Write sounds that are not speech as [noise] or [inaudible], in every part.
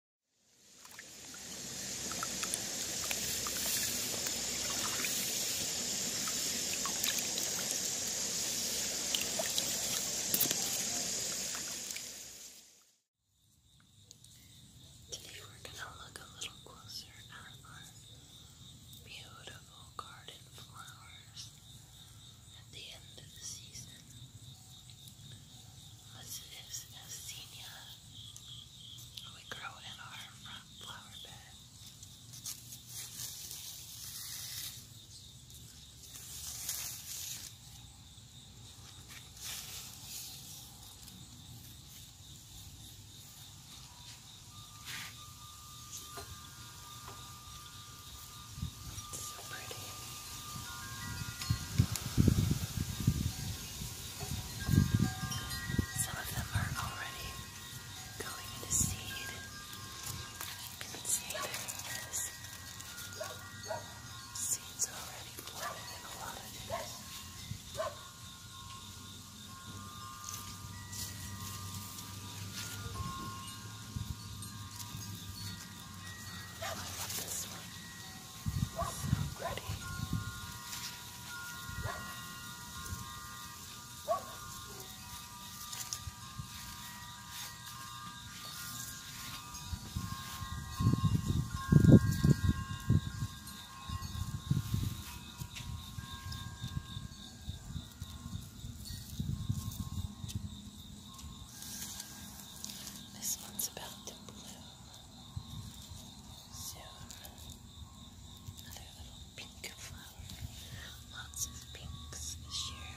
Today we're going to look a little closer at our beautiful garden flowers at the end of the season. This is Assinia. We grow in our front flower bed. It's so pretty. Some of them are already going into seed. You can see there's seeds already planted in a lot of these. I love this one. Ready. This one's about to bloom. Soon, another little pink flower. Lots of pinks this year.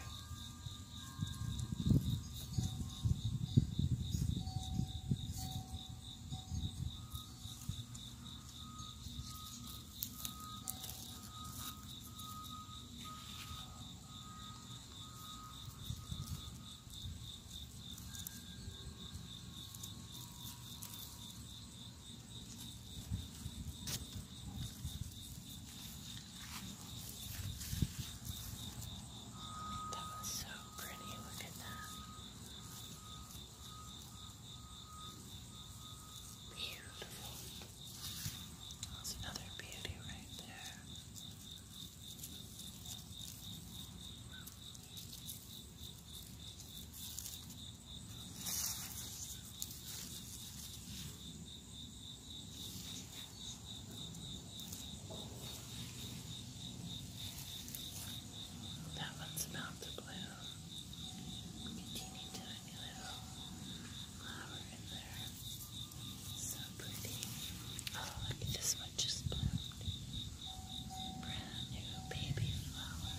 That was so pretty, look at that. Beautiful. That's another beauty right there. That one's about to bloom. Teeny tiny little flower in there. So pretty. Oh, look this one just bloomed. Brand new baby flower.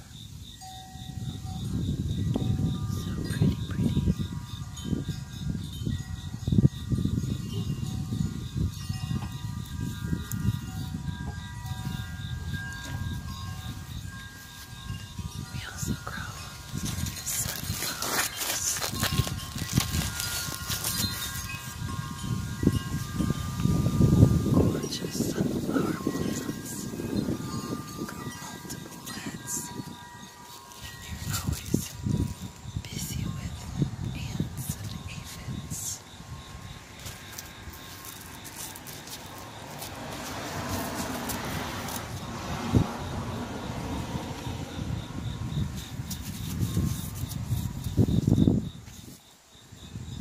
So pretty, pretty. We also grow sunflowers. Gorgeous sunflower blossoms. multiple heads. They're always busy with ants and aphids starting to change.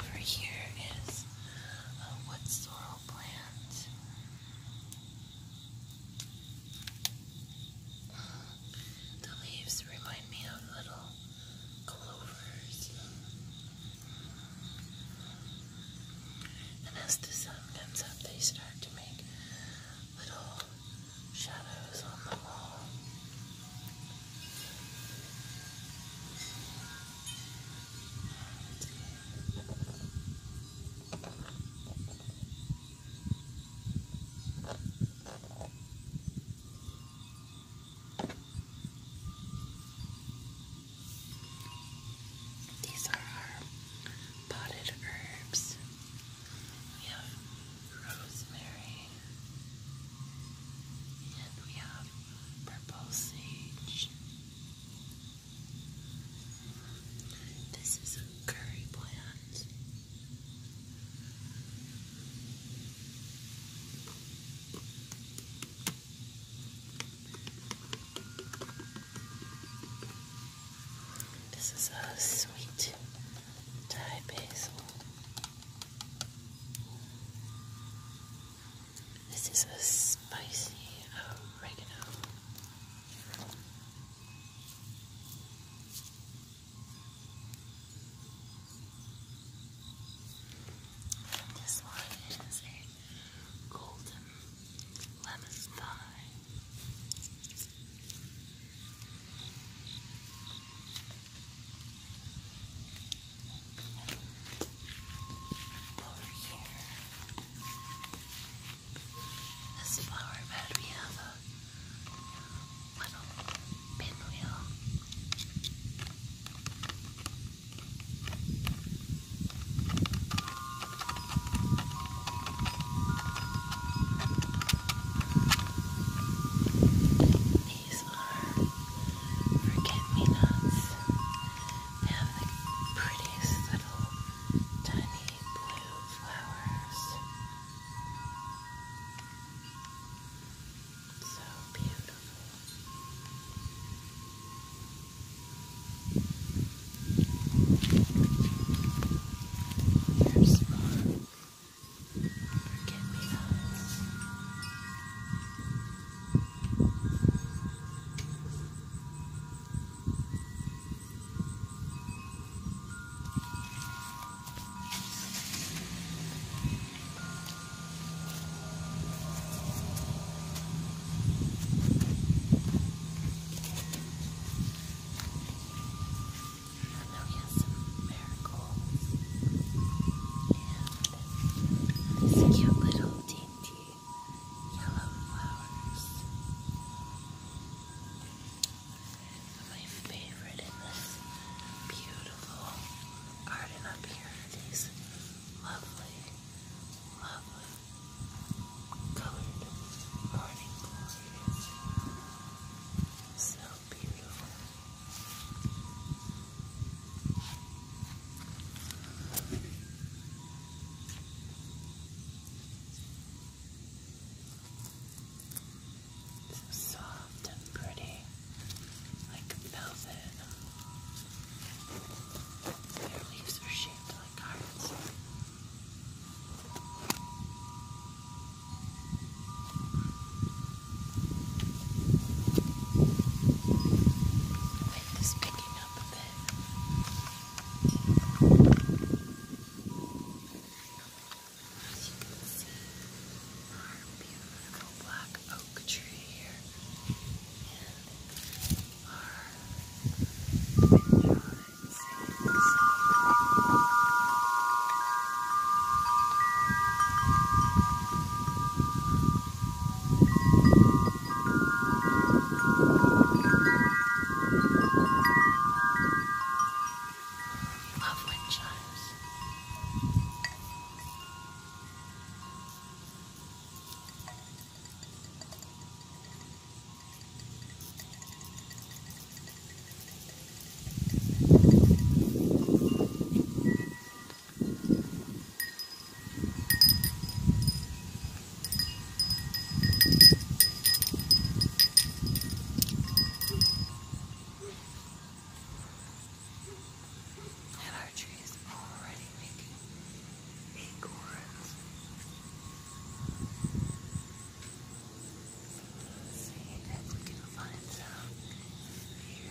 Over here is a wood sorrel plant. The leaves remind me of little clovers. And as the sun comes up, they start to make little shadows on the wall. These are our potted herbs. We have rosemary and we have purple sage. This is a curry plant. This is a sweet Thai basil. This is a spicy oregano. this one is a golden lemon pie. Over here. This flower bed, we have a little pinwheel these are forget-me-nots. have the prettiest little tiny blue flowers. So beautiful. There's one. Forget me nots. I know he has some miracles. And this cute little deer dainty yellow flowers. My favorite in this beautiful garden up here these lovely, lovely colored morning glories. So beautiful. So soft and pretty, like velvet. Their leaves are shaped like hearts wind picking up a bit. As you can see, our beautiful black oak tree here and our window Love wind chimes. And our tree is already making acorns. Let's see if we can find some here.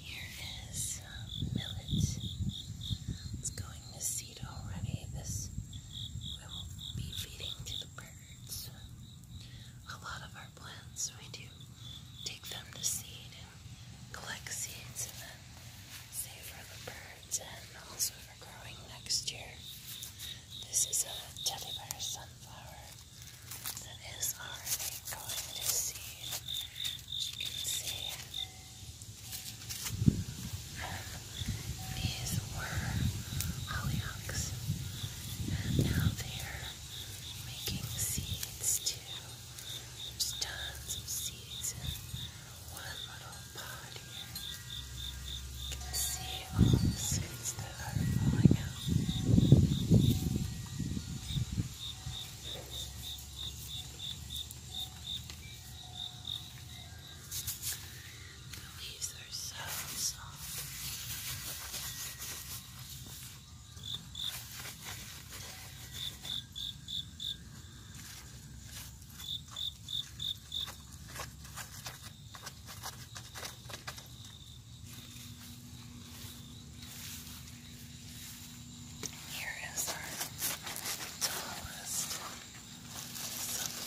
Here is um, millet. It's going to seed already. This we will be feeding to the birds. A lot of our plants, we do take them to seed and collect seeds and then save for the birds and also for growing next year. This is a teddy bear sunflower that is already going to seed. As you can hollyhocks. And now they're making seeds too. tons of seeds in one little pot You can see all the seeds that are falling out. The leaves are so soft. Here is our tallest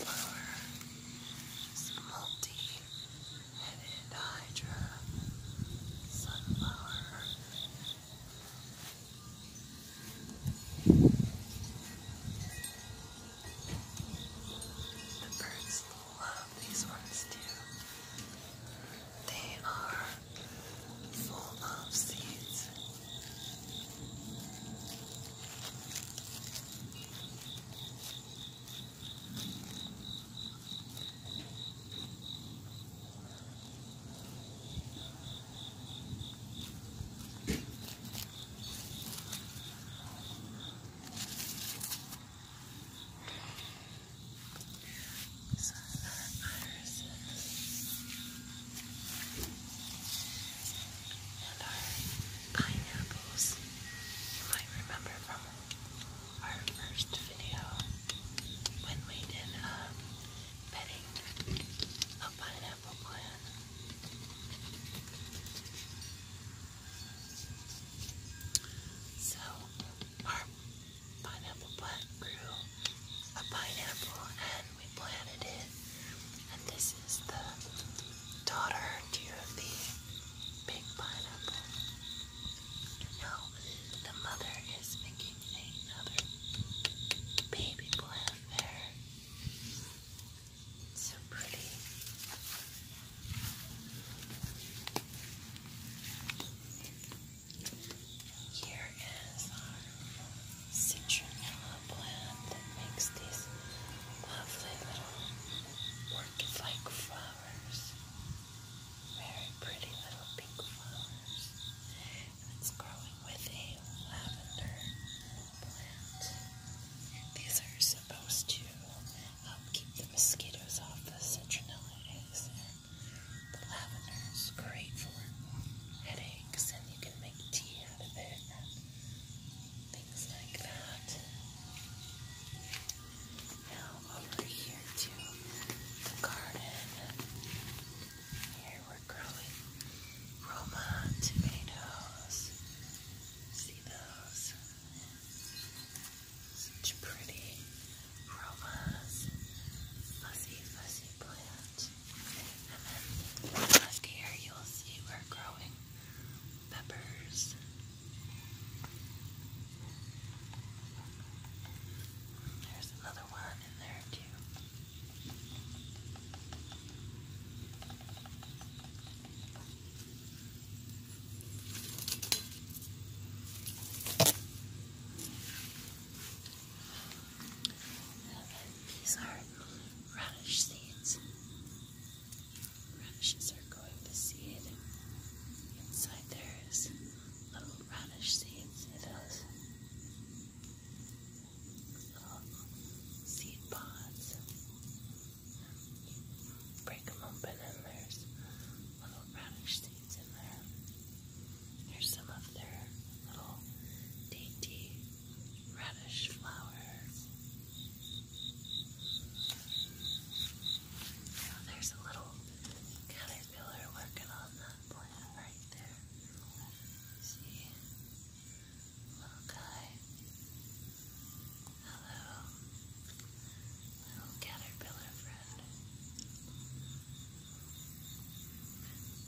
sunflower. multi and hydra sunflower. The birds love these ones too. They are full of seeds and our pineapples you might remember from our first video when we did um, petting a pineapple plant. So our pineapple plant grew a pineapple and we planted it. And this is the daughter to the big pineapple. Now, the mother is making another baby plant there. So pretty. Here is our citronella plant that makes these lovely little looked like flowers. Very pretty little pink flowers. And it's growing with a lavender plant. These are supposed to help keep the mosquitoes off the citronella And the lavender is great for headaches, and you can make tea out of it things Now over here to the garden. Here we're growing Roma tomatoes. See those? Such pretty Romas. Fuzzy, fuzzy plant. And then back here you'll see we're growing peppers. There's another one in there too. these are radish seeds. Radishes are going to seed. Inside there is little radish seeds. See those? seed pods. Break them open and there's little radish seeds in there. Here's some of their little dainty radish flowers. So there's a little caterpillar working on that plant right there. See? Little guy. Hello. Little caterpillar friend.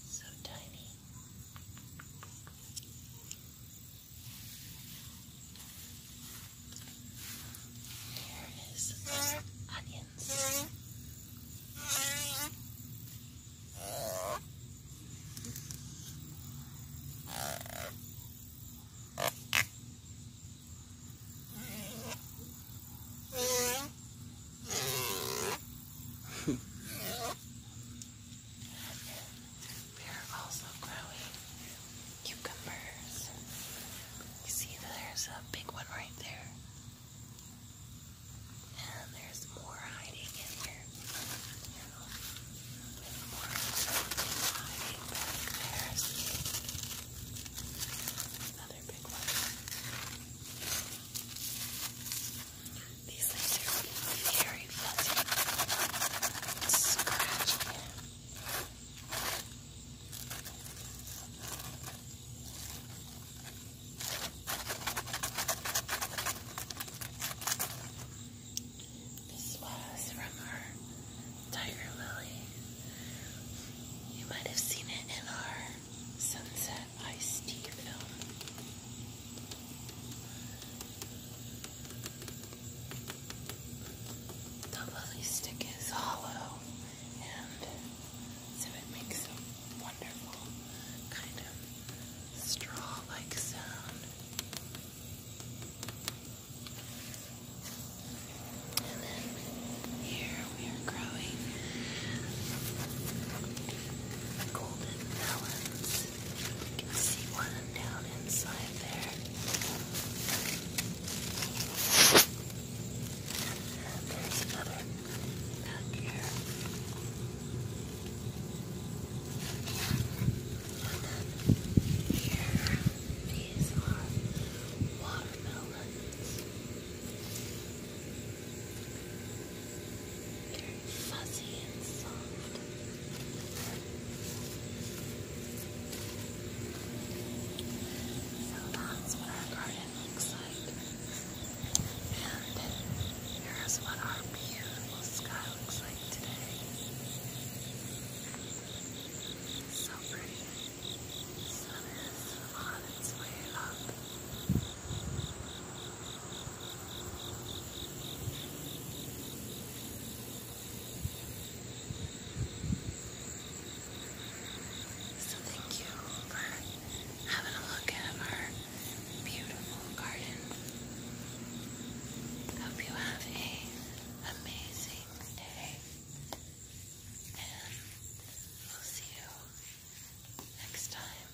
So tiny. There is onions. [laughs] We're also growing cucumbers. You see that there's a big one right there. And there's more hiding in here. You know, and more hiding back there. See? Another big one. These things are very fuzzy. It's scratching. This was from our tiger lily. You might have seen it in our sunset iced tea film. The lily stick is hollow and so it makes a wonderful kind of straw-like sound. And then here we are growing golden melons. You can see one down inside there. And there's another back here. And then here, these are watermelons. Very fuzzy and soft. So that's what our garden looks like. And here's what our beautiful sky looks like today. So pretty. The sun is on up. So thank you for having a look at our beautiful garden. Hope you have a amazing day. And we'll see you next time.